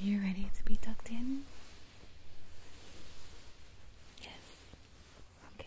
You ready to be tucked in? Yes. Okay.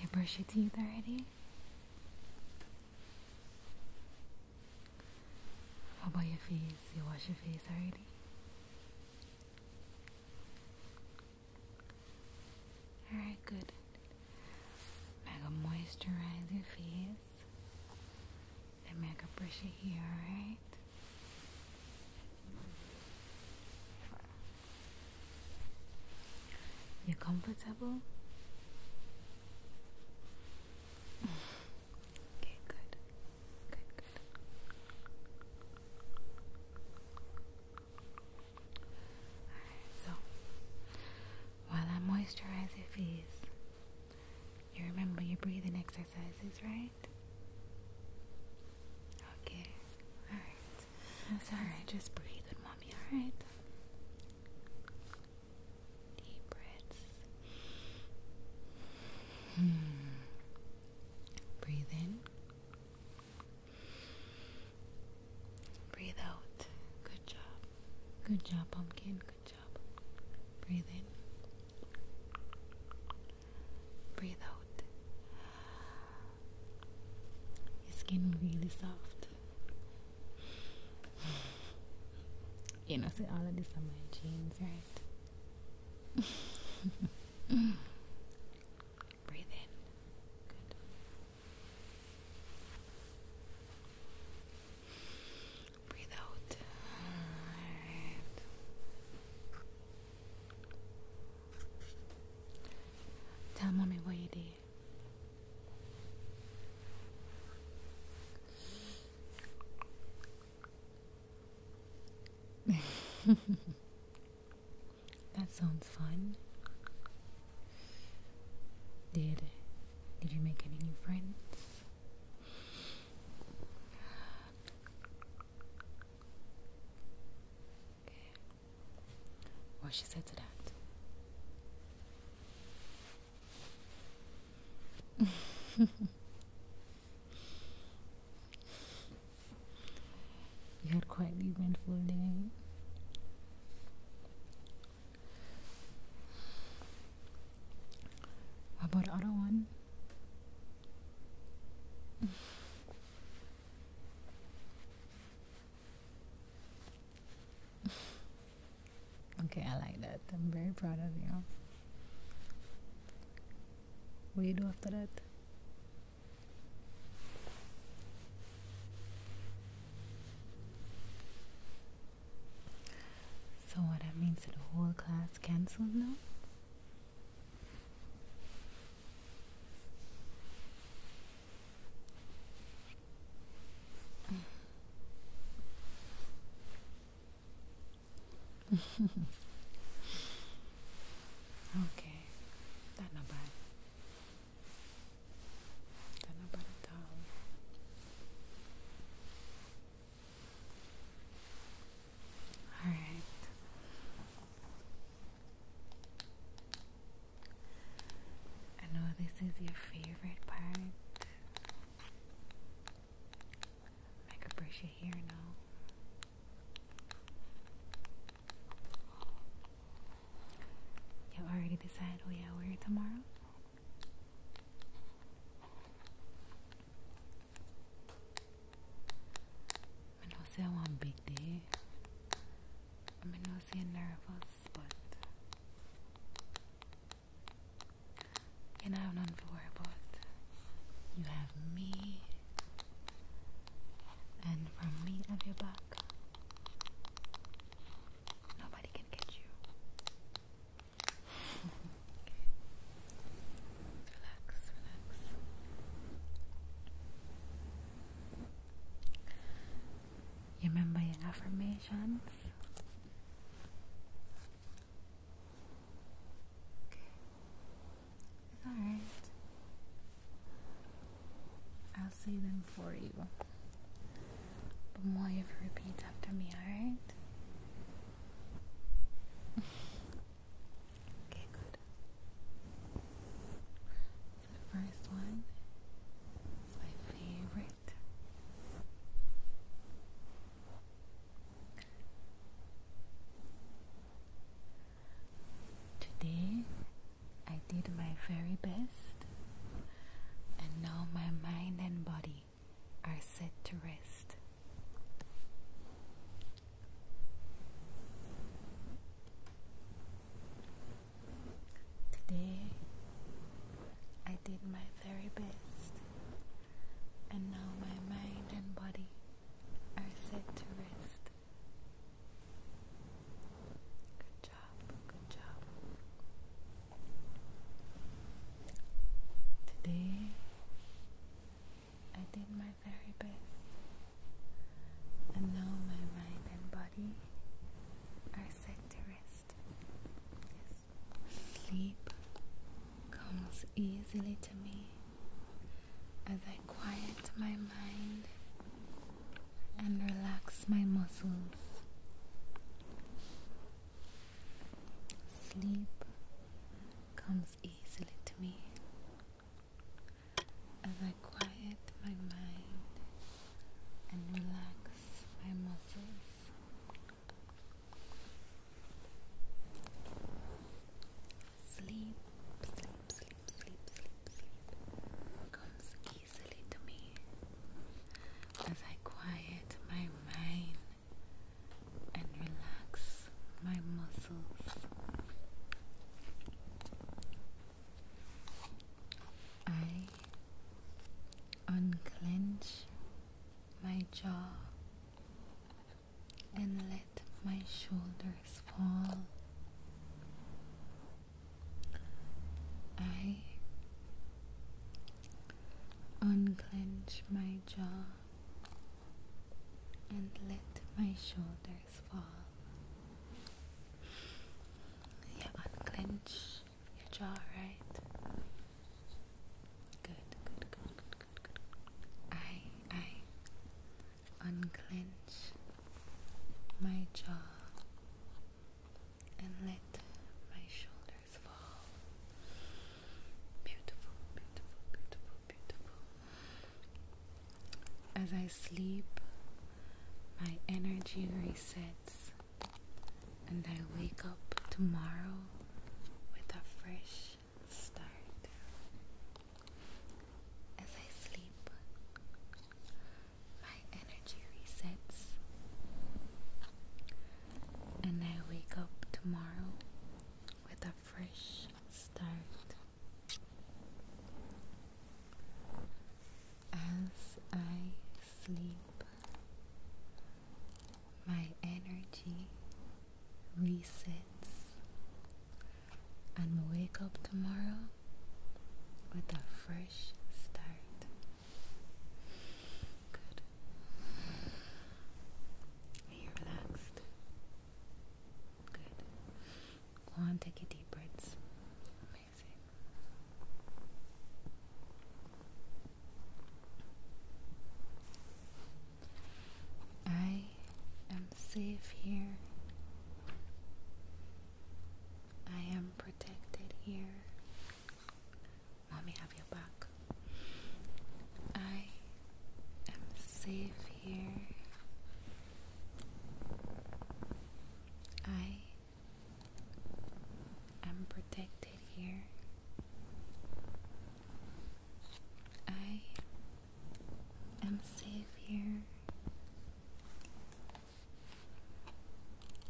You brush your teeth already? How about your face? You wash your face already? Alright, good. i moisturize your face. Let me like a brush it here, alright? You're comfortable? okay, good. Good, good. Alright, so while I moisturize your face, you remember your breathing exercises, right? Okay, alright. That's alright, just breathe with mommy, alright? Deep breaths. Hmm. Breathe in. Breathe out. Good job. Good job, pumpkin. Good Breathe in. Breathe out. Your skin really soft. You know, see all of this on my jeans, right? Breathe in. Good. Breathe out. Tell mommy what you did. that sounds fun. Did did you make any new friends? What she said to that. you had quite the eventful day. How about other one? okay, I like that. I'm very proud of you. What do you do after that? So what that means that the whole class cancelled now? okay, that's not bad. That's not all right. I know this is your favorite part. I could brush your hair now. You already decided we are wearing tomorrow? I'm not saying I want big day. I'm not saying nervous, but you know, I have nothing for worry about. You have me, and from me at your back, nobody can catch you. Relax, relax. You remember your affirmations? Okay. It's alright. I'll say them for you. But more if you repeat after me, alright? okay, good. the first one my favorite. Today I did my very best, and now my mind and body are set to rest. Today I did my very best, and now my mind and body are set to rest. Good job, good job. Today I did my very best, and now my mind and body are set to rest. Sleep comes easily to me as I quiet my mind and relax my muscles. Sleep comes easily to me as I quiet my mind and relax my muscles. Sleep, sleep, sleep, sleep, sleep, sleep comes easily to me as I quiet my mind and relax my muscles. I unclench my jaw and let my shoulders fall. I unclench my jaw and let my shoulders fall. You unclench your jaw, right? Good, good, good, good, good, good. I, I unclench my jaw and let my shoulder Beautiful, beautiful, beautiful, beautiful. As I sleep, my energy resets, and I wake up tomorrow with a fresh start. As I sleep, my energy resets, and I wake up tomorrow with a fresh start. As I sleep, my energy resets and will wake up tomorrow with a fresh start. Good. Are relaxed? Good. Go on, take a deep breaths. Amazing. I am safe here. I am protected here. Mommy have your back. I am safe here. I am protected here. I am safe here.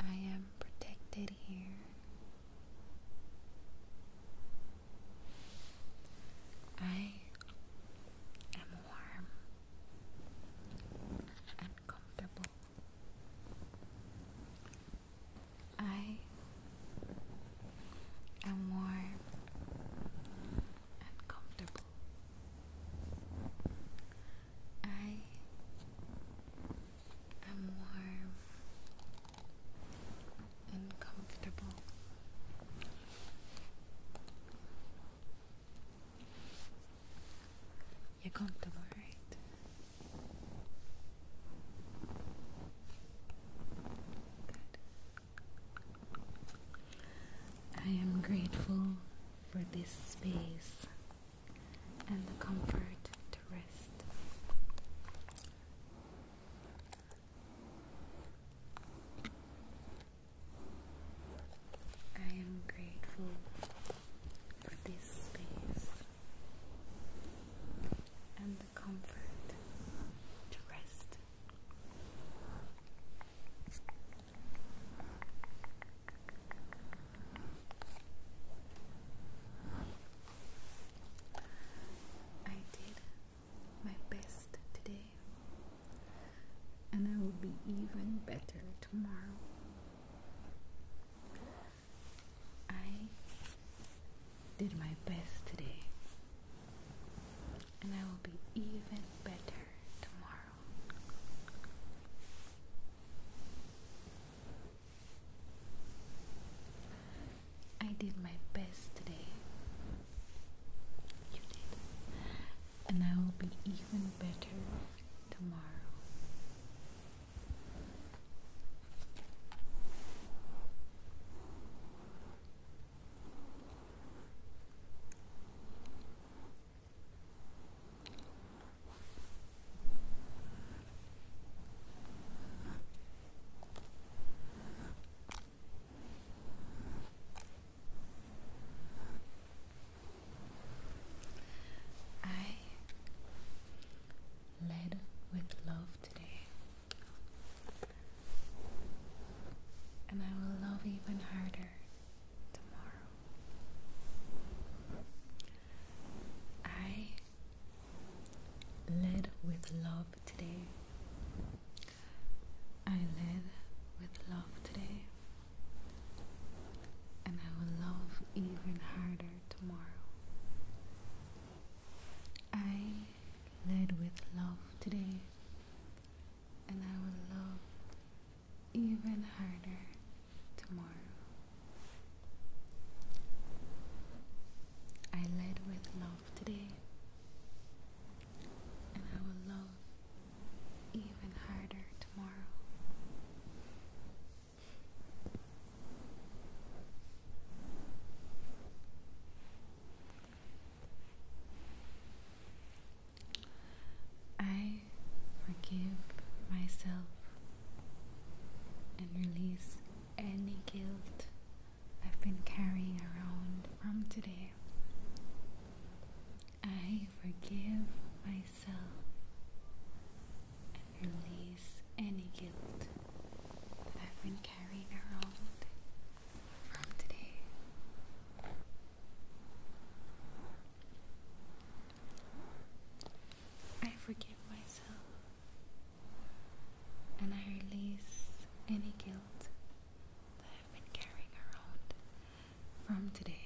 I am protected here. I am warm and comfortable. I am warm and comfortable. I and warm and comfortable. You're comfortable, right? Good. I am grateful for this space and the comfort to rest. I am grateful for this space and the comfort to rest. I did my best today, and I will be even better tomorrow. I did my best today, and I will be even better tomorrow. I did my best today. You did. And I will be even better tomorrow. I led with love today, and I will love even harder tomorrow. I led with love today. I led with love today, and I will love even harder tomorrow. I led with love today, and I will love even harder tomorrow. I led with love today, and I will love even harder tomorrow. I forgive myself and release any guilt I've been carrying around from today. I forgive myself and release any guilt I've been carrying around from today. I forgive myself and I release any guilt that I've been carrying around from today.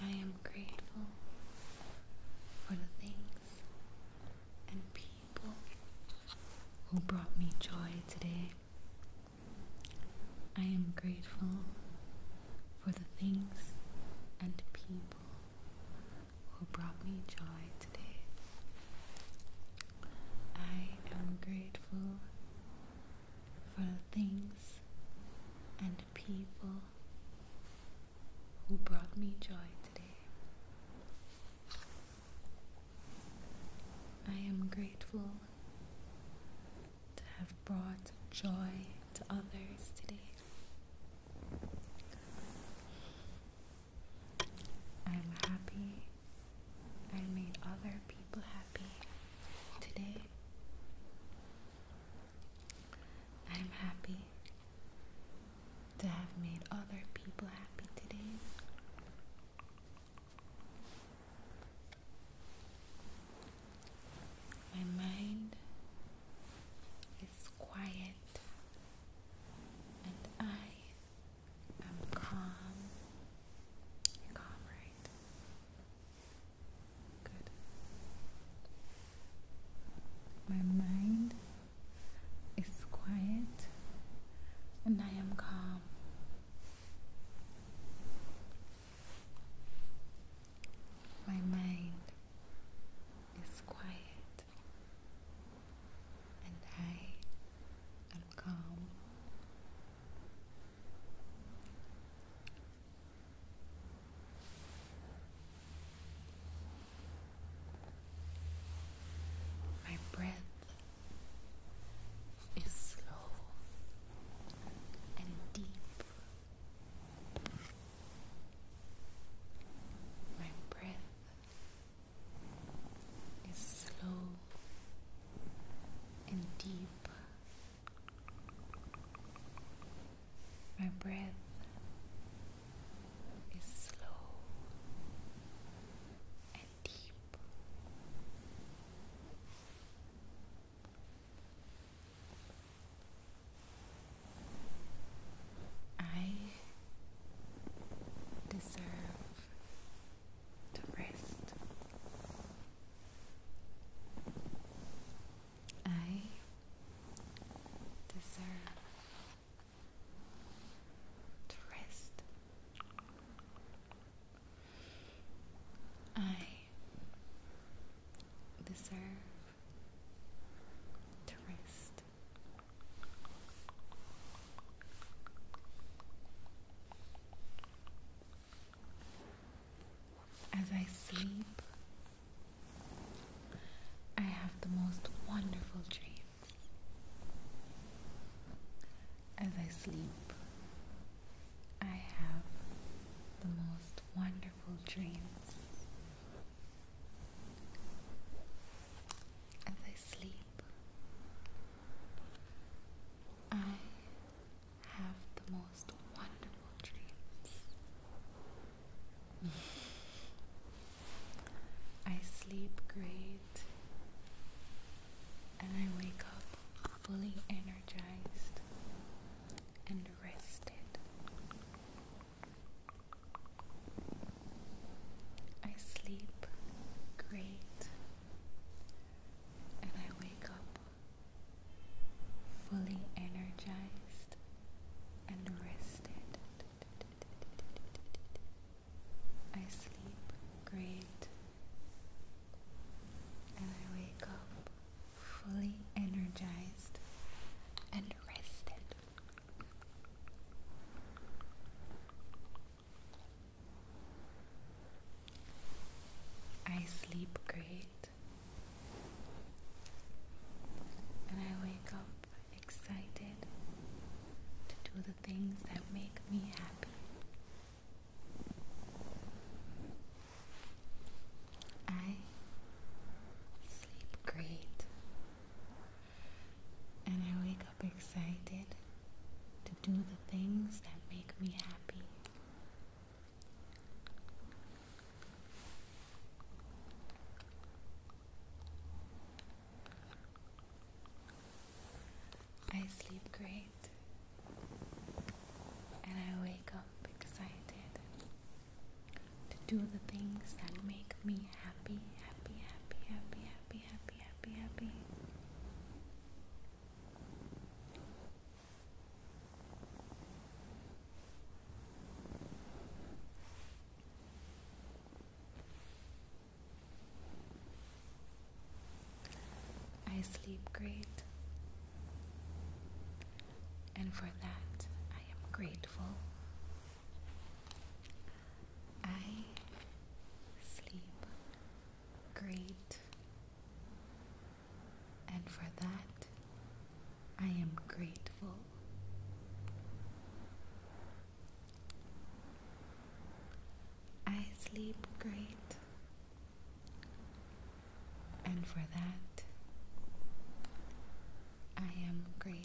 I am grateful for the things and people who brought me joy today. I am grateful for the things and people who brought me joy today. I am grateful for the things and people who brought me joy today. I am grateful to have brought joy to others today. I'm happy I made other people happy today. I'm happy to have made other people happy today. My mind is quiet and I am calm. you calm, right? Good. My mind is quiet and I am calm. My mind is quiet and I am calm. My breath is slow and deep. My breath is slow and deep. My breath is slow and deep. I deserve to rest. I deserve to I deserve to as I sleep, I have the most wonderful dreams. As I sleep, I have the most wonderful dreams. As I sleep, I have the most wonderful dreams. I sleep great and I wake up fully energized and rested. I sleep great and I wake up fully energized and rested. I sleep great and I wake up fully energized and rested. I sleep great and I wake up excited to do the things that make me happy. I sleep great. And I wake up excited to do the things that make me happy. I sleep great and I wake up excited to do the things that make me happy, happy, happy, happy, happy, happy, happy, happy. I sleep great, and for that I am grateful. I sleep great and for that I am grateful. I sleep great, and for that I am grateful.